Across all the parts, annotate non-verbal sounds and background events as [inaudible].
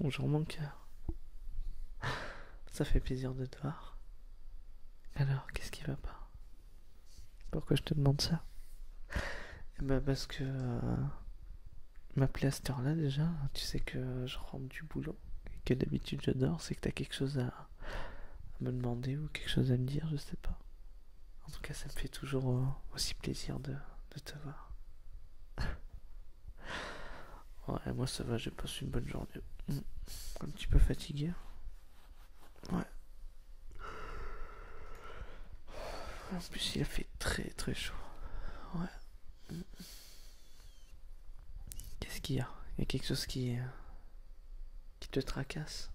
Bonjour mon cœur. Ça fait plaisir de te voir. Alors, qu'est-ce qui va pas Pourquoi je te demande ça bah parce que ma euh, m'appeler à heure-là déjà, tu sais que je rentre du boulot et que d'habitude j'adore, c'est que t'as quelque chose à, me demander ou quelque chose à me dire, je sais pas. En tout cas, ça me fait toujours euh, aussi plaisir de te voir. Ouais, moi ça va, j'ai passé une bonne journée. Mm. Un petit peu fatigué. Ouais. En plus, il a fait très très chaud. Ouais. Mm. Qu'est-ce qu'il y a Il y a quelque chose qui. qui te tracasse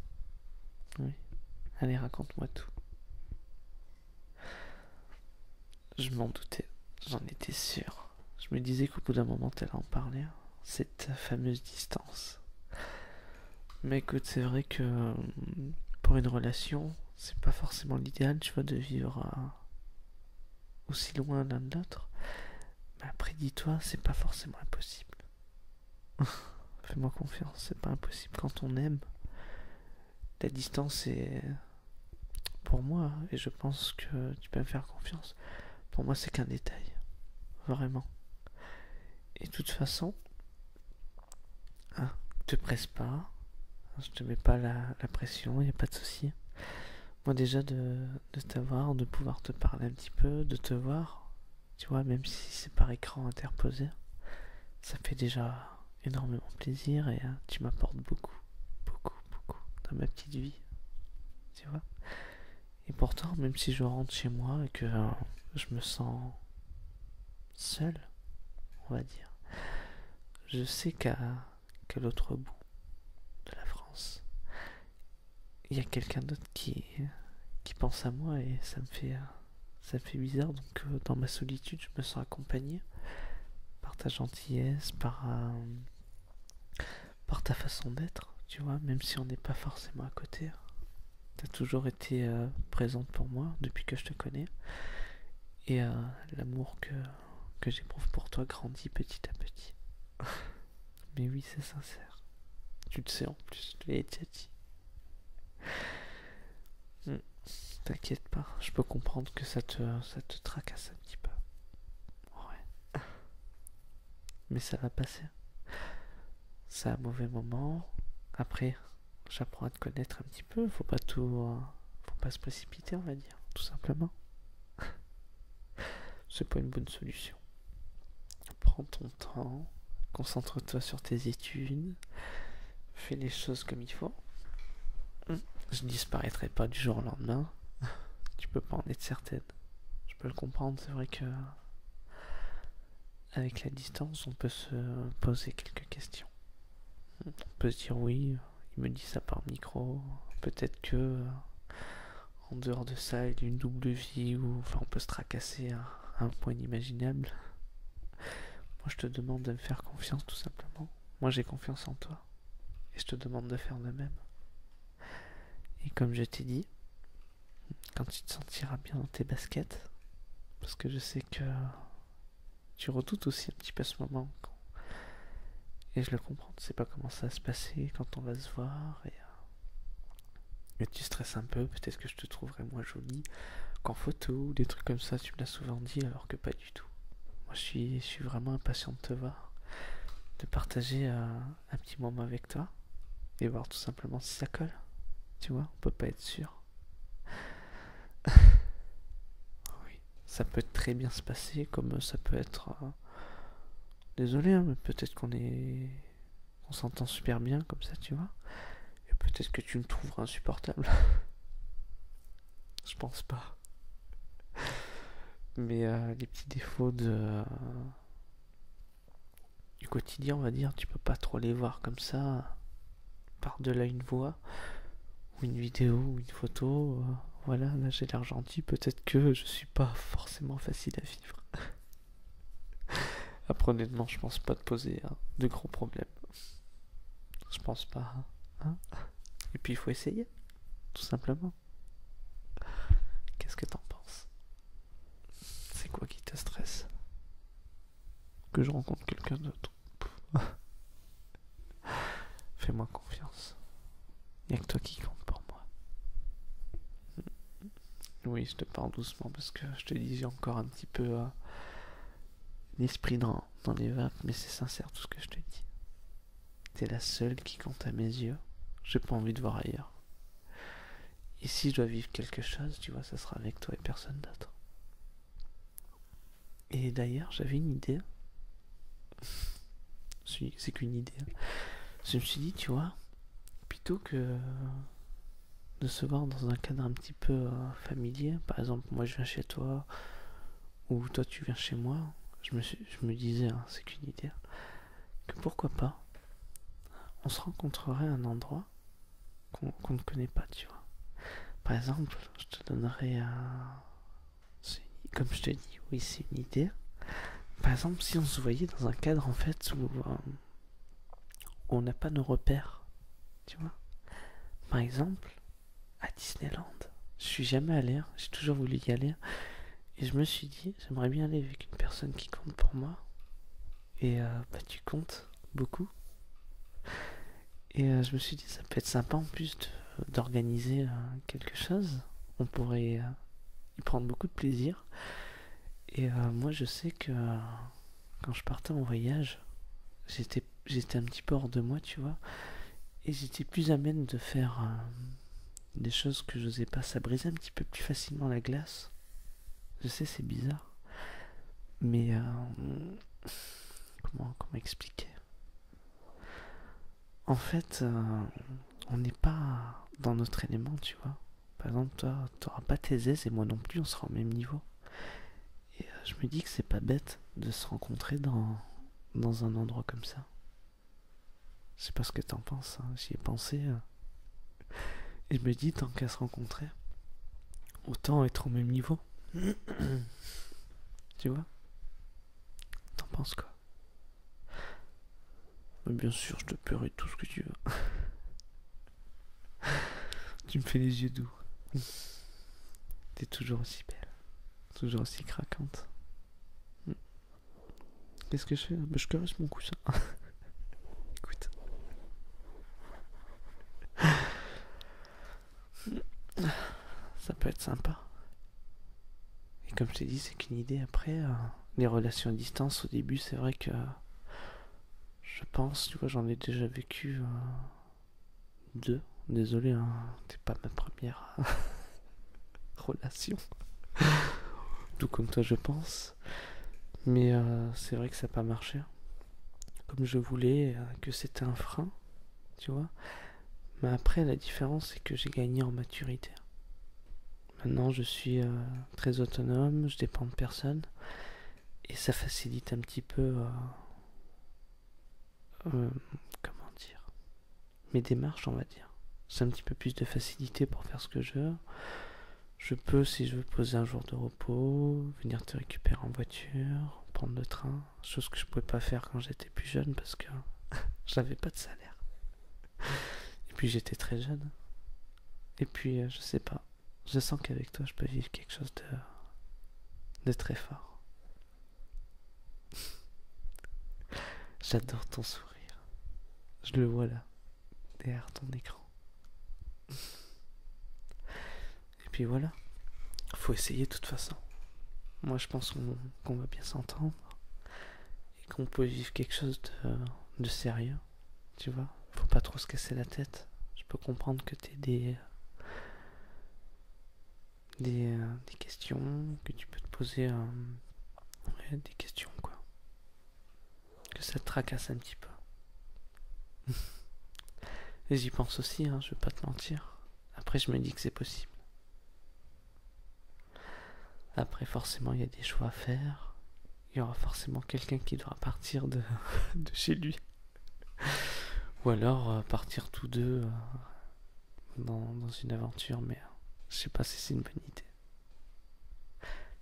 Oui. Allez, raconte-moi tout. Je m'en doutais, j'en étais sûr. Je me disais qu'au bout d'un moment, elle en parlait, cette fameuse distance. Mais écoute, c'est vrai que euh, pour une relation, c'est pas forcément l'idéal, tu vois, de vivre euh, aussi loin l'un de l'autre. Mais après, dis-toi, c'est pas forcément impossible. [laughs] Fais-moi confiance, c'est pas impossible quand on aime. La distance est pour moi, et je pense que tu peux me faire confiance, pour moi c'est qu'un détail. Vraiment. Et de toute façon, hein, te presse pas, hein, je te mets pas la, pression, il n'y a pas de souci. Moi déjà de, t'avoir, de pouvoir te parler un petit peu, de te voir, tu vois, même si c'est par écran interposé, ça fait déjà énormément plaisir et hein, tu m'apportes beaucoup beaucoup, beaucoup dans ma petite vie. Tu vois Et pourtant, même si je rentre chez moi et que euh, je me sens seul, on va dire, je sais qu'à l'autre bout de la France, il y a quelqu'un d'autre qui, pense à moi et ça me fait, euh, ça fait bizarre. Donc, euh, dans ma solitude, je me sens accompagné, gentillesse. Euh, par, ta façon d'être, tu vois, même si on n'est pas forcément à côté. Hein. Tu as toujours été euh, présente pour moi depuis que je te connais. Et euh, l'amour que, que j'éprouve pour toi grandit petit à petit. [laughs] Mais oui, c'est sincère. Tu le sais en plus, je hmm. T'inquiète pas, je peux comprendre que ça te, ça te tracasse un petit peu. Ouais. Mais ça va passer. C'est un mauvais moment. Après, j'apprends à te connaître un petit peu. Faut pas tout. Euh, faut pas se précipiter, on va dire, tout simplement. [laughs] C'est pas une bonne solution. Prends ton temps, concentre-toi sur tes études, fais les choses comme il faut. Je ne disparaîtrai pas du jour au lendemain. [laughs] tu peux pas en être certaine. Je peux le comprendre, c'est vrai que. Avec la distance, on peut se poser quelques questions. On peut se dire oui, il me dit ça par micro. Peut-être que. En dehors de ça, il y a une double vie ou. Enfin, on peut se tracasser à un point inimaginable. Moi, je te demande de me faire confiance, tout simplement. Moi, j'ai confiance en toi. Et je te demande de faire de même. Et comme je t'ai dit, quand tu te sentiras bien dans tes baskets, parce que je sais que tu redoutes aussi un petit peu ce moment. Et je le comprends, tu sais pas comment ça va se passer, quand on va se voir, et, euh, tu stresses un peu, peut-être que je te trouverai moins jolie qu'en photo, ou des trucs comme ça, tu me l'as souvent dit, alors que pas tout. Moi, je suis, vraiment impatient de te voir, de partager euh, un petit moment avec toi et voir tout simplement si ça colle. Tu vois, on peut pas être sûr. [laughs] oui, ça peut très bien se passer, comme ça peut être. Euh, désolé, hein, mais peut-être qu'on est. On s'entend super bien comme ça, tu vois. Et peut-être que tu me trouveras insupportable. [laughs] Je pense pas. Mais euh, les petits défauts du quotidien, on va dire, tu peux pas trop les voir comme ça, par-delà une voix, ou une vidéo, ou une photo. Euh, voilà, là j'ai l'air gentil, peut-être que je suis pas forcément facile à vivre. [laughs] Après, honnêtement, je pense pas te poser hein, de gros problèmes. Je pense pas. Hein. Et puis il faut essayer, tout simplement. Qu'est-ce que t'en penses C'est quoi qui te stresse Que je rencontre quelqu'un d'autre [laughs] Fais-moi confiance. Il a que toi qui compte pour moi. Oui, je te parle doucement parce que je te dis, encore un petit peu euh, l'esprit dans, dans les vagues, mais c'est sincère tout ce que je te dis. T'es la seule qui compte à mes yeux. J'ai pas envie de voir ailleurs. Et si je dois vivre quelque chose, tu vois, ça sera avec toi et personne d'autre. Et d'ailleurs, j'avais une idée. [laughs] c'est qu'une idée. Je me suis dit, tu vois, plutôt que de se voir dans un cadre un petit peu euh, familier, par exemple, moi je viens chez toi, ou toi tu viens chez moi, je me, disais, hein, c'est qu'une idée, que pourquoi pas, on se rencontrerait à un endroit qu'on ne connaît pas, tu vois. Par exemple, je te donnerais Comme je te dis, oui, c'est une idée. Par exemple, si on se voyait dans un cadre en fait où, où euh, on n'a pas nos repères, tu vois. Par exemple, à Disneyland. Je suis jamais allé, hein. j'ai toujours voulu y aller. Et je me suis dit, j'aimerais bien aller avec une personne qui compte pour moi. Et euh, bah, tu comptes beaucoup. Et euh, je me suis dit, ça peut être sympa en plus d'organiser euh, quelque chose. On pourrait y prendre beaucoup de plaisir. Et moi, je sais que quand je partais en voyage, j'étais j'étais un petit peu hors de moi, tu vois. Et j'étais plus à même de faire euh, des choses que je n'osais pas. Ça brisait un petit peu plus facilement la glace. Je sais, c'est bizarre. Mais euh, comment, comment expliquer En fait, euh, on n'est pas dans notre élément, tu vois. Par exemple, toi, t'auras pas tes aises et moi non plus, on sera au même niveau. Et euh, je me dis que c'est pas bête de se rencontrer dans, dans un endroit comme ça. Je sais pas ce que t'en penses, hein. j'y ai pensé. Euh. Et je me dis, tant qu'à se rencontrer, autant être au même niveau. [coughs] tu vois T'en penses quoi Mais Bien sûr, je te paierai tout ce que tu veux. [laughs] tu me fais les yeux doux. T'es toujours aussi belle, toujours aussi craquante. Hmm. Qu'est-ce que je fais hein bah, Je caresse mon coussin. [laughs] Écoute. Ça peut être sympa. Et comme je t'ai dit, c'est qu'une idée après. Euh, les relations à distance, au début, c'est vrai que. Euh, je pense, tu vois, j'en ai déjà vécu. Euh, deux. Désolé, hein. t'es pas ma première euh, [laughs] relation. Tout comme toi, je pense. Mais euh, c'est vrai que ça n'a pas marché. Comme je voulais, euh, que c'était un frein, tu vois. Mais après, la différence, c'est que j'ai gagné en maturité. Maintenant, je suis très autonome, je dépend de personne. Et ça facilite un petit peu euh, comment dire mes démarches on va dire c'est un petit peu plus de facilité pour faire ce que je veux je peux si je veux poser un jour de repos venir te récupérer en voiture prendre le train chose que je pouvais pas faire quand j'étais plus jeune parce que [laughs] j'avais pas de salaire et puis j'étais très jeune et puis euh, je sais pas je sens qu'avec toi je peux vivre quelque chose de de très fort. [laughs] J'adore ton sourire. Je le vois là, derrière ton écran. Et puis voilà. Faut essayer de toute façon. Moi je pense qu'on va bien s'entendre. Et qu'on peut vivre quelque chose de, sérieux. Tu vois Faut pas trop se casser la tête. Je peux comprendre que t'es des, euh, des, questions que tu peux te poser, euh, des questions quoi. Que ça te tracasse un petit peu. [laughs] Et j'y pense aussi, hein, je vais pas te mentir. Après, je me dis que c'est possible. Après, forcément, il y a des choix à faire. Il y aura forcément quelqu'un qui devra partir [laughs] de chez lui. Ou alors euh, partir tous deux euh, dans, une aventure, mais euh, je sais pas si c'est une bonne idée.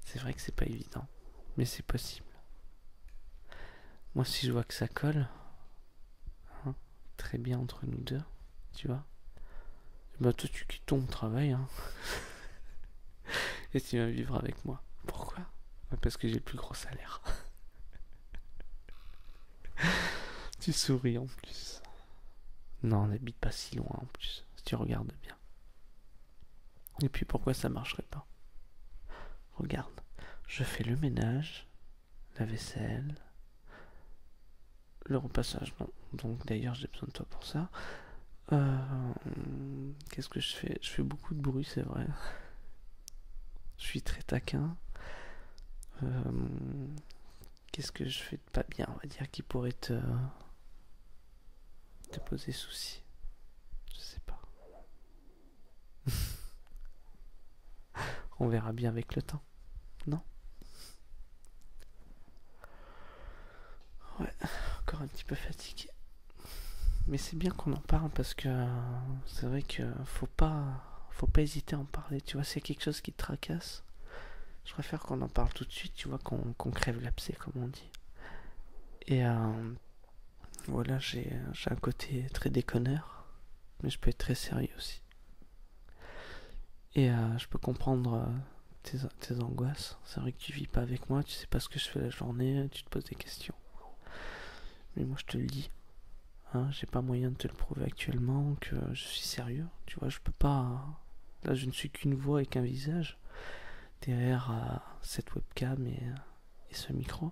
C'est vrai que c'est pas évident, mais c'est possible. Moi, si je vois que ça colle, hein, très bien entre nous deux, tu vois, bah toi tu quittes ton travail, hein. [laughs] et tu vas vivre avec moi. Pourquoi Parce que j'ai le plus gros salaire. [laughs] tu souris en plus. Non, on n'habite pas si loin en plus, si tu regardes bien. Et puis pourquoi ça marcherait pas Regarde, je fais le ménage, la vaisselle, le repassage. Non. Donc d'ailleurs j'ai besoin de toi pour ça. Euh, qu'est-ce que je fais Je fais beaucoup de bruit, c'est vrai. Je suis très taquin. Euh, qu'est-ce que je fais de pas bien, on va dire, qui pourrait te, te poser souci Je sais pas. [laughs] on verra bien avec le temps, non Ouais, encore un petit peu fatigué mais c'est bien qu'on en parle parce que c'est vrai que faut pas faut pas hésiter à en parler tu vois c'est quelque chose qui te tracasse je préfère qu'on en parle tout de suite tu vois qu'on crève l'abcès comme on dit et euh, voilà j'ai un côté très déconneur mais je peux être très sérieux aussi et euh, je peux comprendre euh, tes, tes angoisses c'est vrai que tu vis pas avec moi tu sais pas ce que je fais la journée tu te poses des questions mais moi, je te le dis. Hein, j'ai pas moyen de te le prouver actuellement, que je suis sérieux. Tu vois, je peux pas. Hein. Là, je ne suis qu'une voix et qu'un visage derrière euh, cette webcam et, ce micro.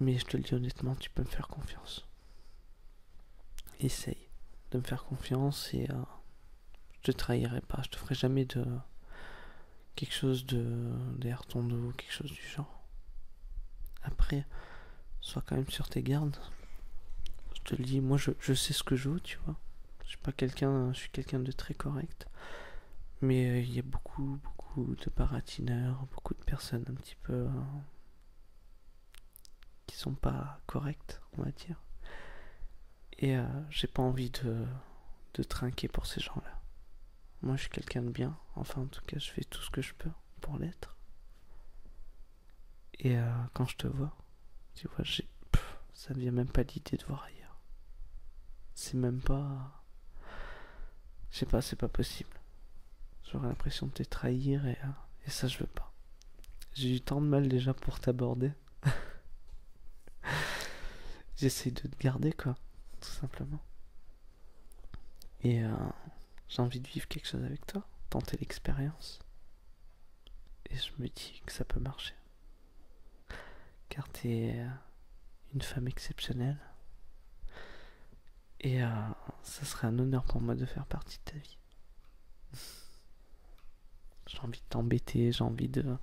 Mais je te le dis honnêtement, tu peux me faire confiance. Essaye de me faire confiance et euh, je te trahirai pas. Je te ferai jamais de, quelque chose de des ton dos, quelque chose du genre. Après, sois quand même sur tes gardes. Je te le dis, moi je, sais ce que je veux, tu vois. Je suis pas quelqu'un, je suis quelqu'un de très correct. Mais euh, il y a beaucoup, beaucoup de baratineurs, beaucoup de personnes un petit peu euh, qui sont pas correctes, on va dire. Et euh, j'ai pas envie de trinquer pour ces gens-là. Moi, je suis quelqu'un de bien. Enfin, en tout cas, je fais tout ce que je peux pour l'être. Et euh, quand je te vois, tu vois, j'ai... ça ne vient même pas l'idée de voir ailleurs. C'est même pas... Je sais pas, c'est pas possible. J'aurais l'impression de te trahir et, euh, et ça, je veux pas. J'ai eu tant de mal déjà pour t'aborder. [laughs] J'essaie de te garder, quoi tout simplement. Et euh, j'ai envie de vivre quelque chose avec toi, tenter l'expérience. Et je me dis que ça peut marcher. Car t'es euh, une femme exceptionnelle. Et euh, ça serait un honneur pour moi de faire partie de ta vie. [laughs] j'ai envie de t'embêter, j'ai envie de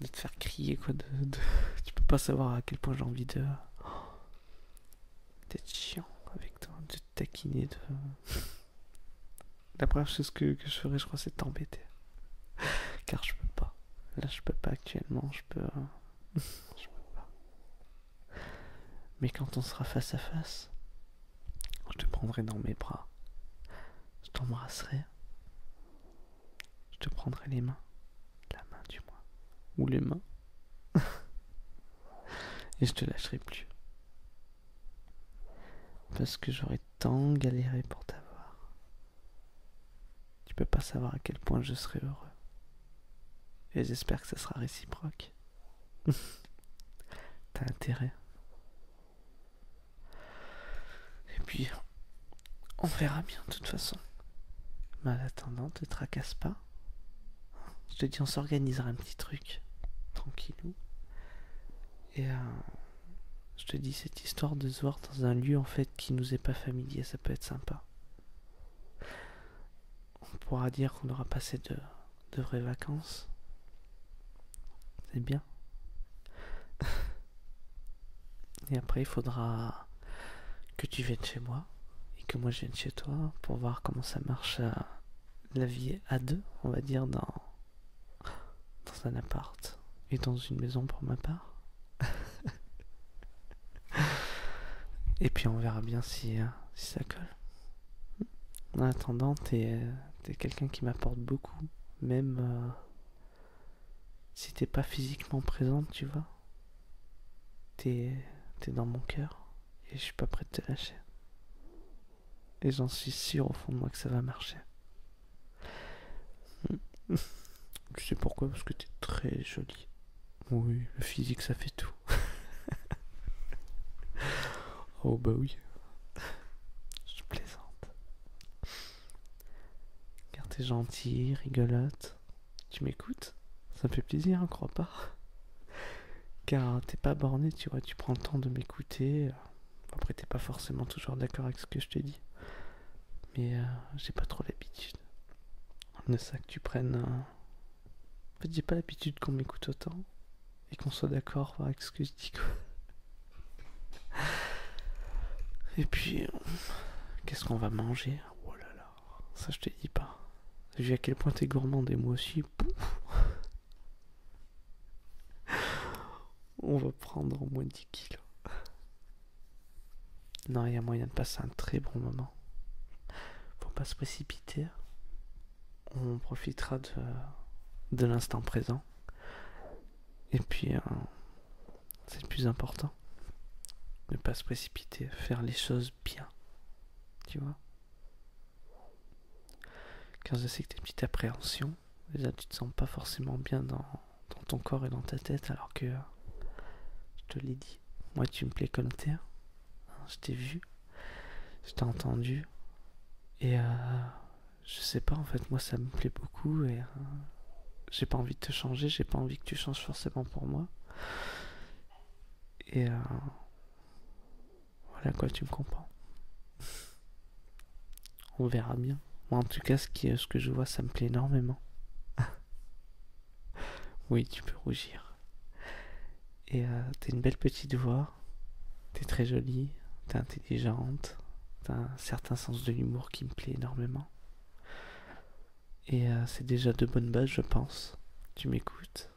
de te faire crier quoi de, [laughs] tu peux pas savoir à quel point j'ai envie de [gasps] d'être chiant avec toi de te taquiner de [laughs] la première chose que, je ferais je crois c'est de t'embêter [laughs] car je peux pas là je peux pas actuellement je peux euh, je peux pas mais quand on sera face à face je te prendrai dans mes bras je t'embrasserai je te prendrai les mains, la main du moins, ou les mains, [laughs] et je te lâcherai plus. Parce que j'aurais tant galéré pour t'avoir. Tu peux pas savoir à quel point je serai heureux. Et j'espère que ça sera réciproque. [laughs] T'as intérêt. Et puis, on verra bien de toute façon. ne te tracasse pas. Je te dis, on s'organisera un petit truc. Tranquillou. Et euh, je te dis, cette histoire de se voir dans un lieu en fait qui nous est pas familier, ça peut être sympa. On pourra dire qu'on aura passé de, de vraies vacances. C'est bien. [laughs] Et après, il faudra que tu viennes chez moi et que moi je vienne chez toi pour voir comment ça marche euh, la vie à deux, on va dire, dans, un appart et dans une maison pour ma part. [laughs] et puis on verra bien si, euh, si ça colle. En attendant, t'es euh, quelqu'un qui m'apporte beaucoup, même, si t'es pas physiquement présente, tu vois, t'es dans mon cœur et je suis pas prêt de te lâcher. Et j'en suis sûr au fond de moi que ça va marcher. [laughs] Tu sais pourquoi Parce que t'es très jolie. Oui, le physique ça fait tout. [laughs] oh bah oui. Je plaisante. Car t'es gentil, rigolote. Tu m'écoutes Ça me fait plaisir, hein, crois pas. Car t'es pas borné, tu vois, tu prends le temps de m'écouter. Après, t'es pas forcément toujours d'accord avec ce que je te dis. Mais euh, j'ai pas trop l'habitude Ne ça que tu prennes. En fait, j'ai pas l'habitude qu'on m'écoute autant et qu'on soit d'accord avec ce que je dis, et puis, qu'est-ce qu'on va manger Oh là là, ça je te dis pas. vu à quel point t'es gourmand et moi aussi. On va prendre au moins 10 kilos. Non, il y a moyen de passer un très bon moment. Faut pas se précipiter. On profitera de, de l'instant présent. Et puis, euh, c'est le plus important. Ne pas se précipiter, faire les choses bien. Tu vois Quand je sais que tes petites une petite appréhension, déjà tu te sens pas forcément bien dans, ton corps et dans ta tête, alors que je te l'ai dit, moi tu me plais comme terre, hein, Je t'ai vu, je t'ai entendu, et euh, je sais pas en fait, moi ça me plaît beaucoup et euh, j'ai pas envie de te changer, j'ai pas envie que tu changes forcément pour moi. Et euh, voilà quoi, tu me comprends. [laughs] On verra bien. Moi en tout cas, ce, que je vois, ça me plaît énormément. [laughs] oui, tu peux rougir. Et euh, t'es une belle petite voix, t'es très jolie, t'es intelligente, un certain sens de l'humour qui me plaît énormément. Et euh, c'est déjà de bonnes bases, je pense. Tu m'écoutes.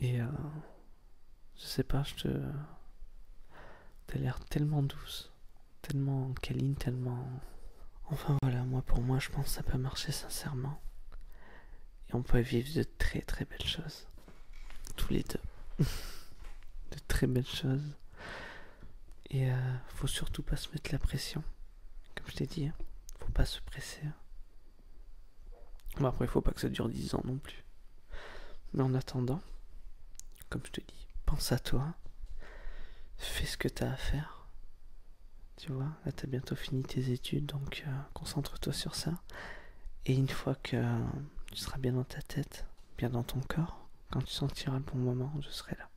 Et euh, je sais pas, je te. T'as l'air tellement douce, tellement câline, tellement. Enfin voilà, moi pour moi, je pense que ça peut marcher sincèrement. Et on peut vivre de très très belles choses. Tous les deux. [laughs] de très belles choses. Et euh, faut surtout pas se mettre la pression, comme je t'ai dit. Hein. Faut pas se presser. Bon, après, faut pas que ça dure 10 ans non plus. Mais en attendant, comme je te dis, pense à toi. Fais ce que t'as à faire. Tu vois, là t'as bientôt fini tes études, donc euh, concentre-toi sur ça. Et une fois que euh, tu seras bien dans ta tête, bien dans ton corps. Quand tu sentiras le bon moment, je serai là.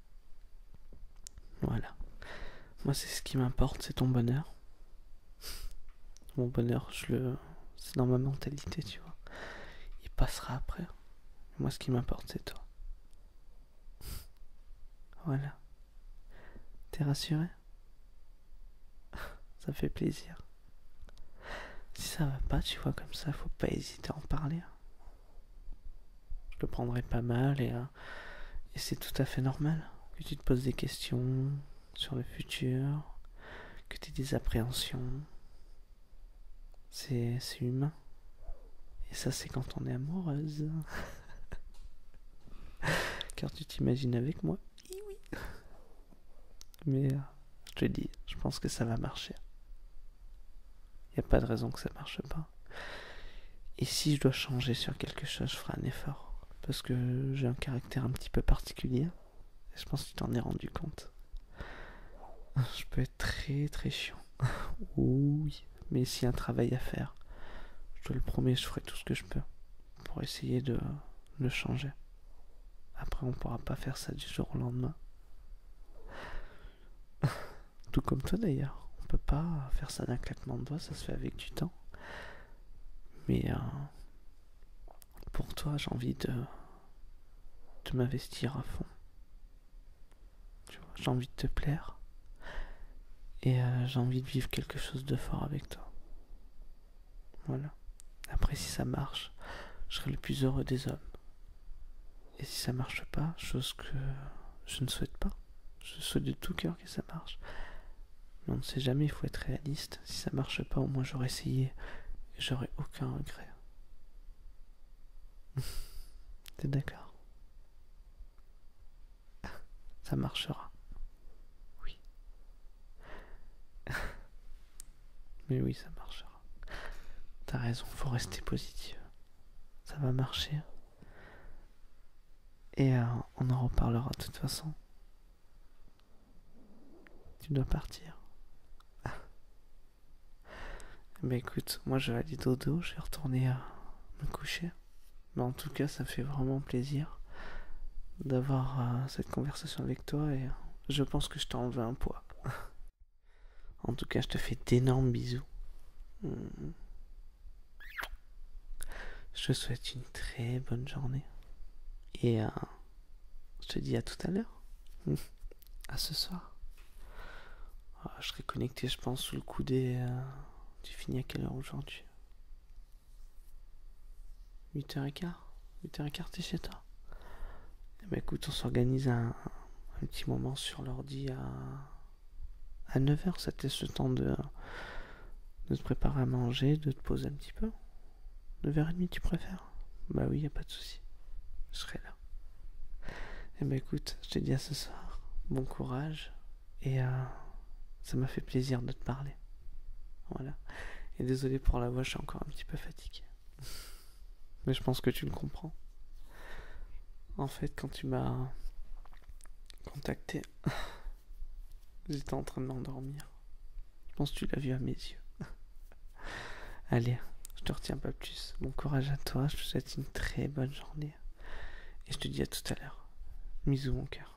Voilà. Moi, c'est ce qui m'importe, c'est ton bonheur. Mon bonheur, je le, c'est dans ma mentalité, tu vois. Il passera après. Moi, ce qui m'importe, c'est toi. Voilà. T'es rassuré Ça fait plaisir. Si ça va pas, tu vois, comme ça, faut pas hésiter à en parler. Hein. Je le prendrai pas mal euh, et, c'est tout à fait normal que tu te poses des questions sur le futur, que tu aies des appréhensions. C'est humain. Et ça, c'est quand on est amoureuse. [laughs] Car tu t'imagines avec moi. Eh mais euh, je te dis, je pense que ça va marcher. Il n'y a pas de raison que ça marche pas. Et si je dois changer sur quelque chose, je ferai un effort. Parce que j'ai un caractère un petit peu particulier. Et je pense que tu t'en es rendu compte. Je peux être très très chiant. [laughs] oui, mais s'il y a un travail à faire, je te le promets, je ferai tout ce que je peux pour essayer de le changer. Après, on pourra pas faire ça du jour au lendemain. [laughs] Tout comme toi d'ailleurs, on peut pas faire ça d'un claquement de doigts, ça se fait avec du temps. Mais euh, pour toi, j'ai envie de, de m'investir à fond. J'ai envie de te plaire. Et euh, j'ai envie de vivre quelque chose de fort avec toi. Voilà. Après, si ça marche, je serai le plus heureux des hommes. Et si ça marche pas, chose que je ne souhaite pas, je souhaite de tout cœur que ça marche. Mais on ne sait jamais, il faut être réaliste. Si ça marche pas, au moins j'aurais essayé et j'aurais aucun regret. [laughs] T'es d'accord Ça marchera. Oui. [laughs] Mais oui, ça marchera. T'as raison, faut rester positif. Ça va marcher. Et euh, on en reparlera de toute façon. Tu dois partir. Ah. Mais écoute, moi je vais aller dodo, je vais retourner euh, me coucher. Mais en tout cas, ça fait vraiment plaisir d'avoir euh, cette conversation avec toi et je pense que je t'ai enlevé un poids. En tout cas, je te fais d'énormes bisous. Hmm. Je te souhaite une très bonne journée. Et euh, je te dis à tout à l'heure. [laughs] À ce soir. Ah, je serai connecté, je pense, sous le coup des... Euh, tu finis à quelle heure aujourd'hui 8h15 8h15, t'es chez toi et écoute, on s'organise un, petit moment sur l'ordi à, 9 h Ça te le temps de, de te préparer à manger, de te poser un petit peu. 9h30 tu préfères Bah oui, y a pas de souci. Je serai là. Et eh ben écoute, je te dit à ce soir, bon courage et euh, ça m'a fait plaisir de te parler. Voilà. Et désolé pour la voix, je suis encore un petit peu fatigué. Mais je pense que tu me comprends. En fait, quand tu m'as contacté, [laughs] j'étais en train de m'endormir. Je pense que tu l'as vu à mes yeux. [laughs] Allez, je te retiens pas plus. Bon courage à toi, je te souhaite une très bonne journée. Et je te dis à tout à l'heure. Bisous mon cœur.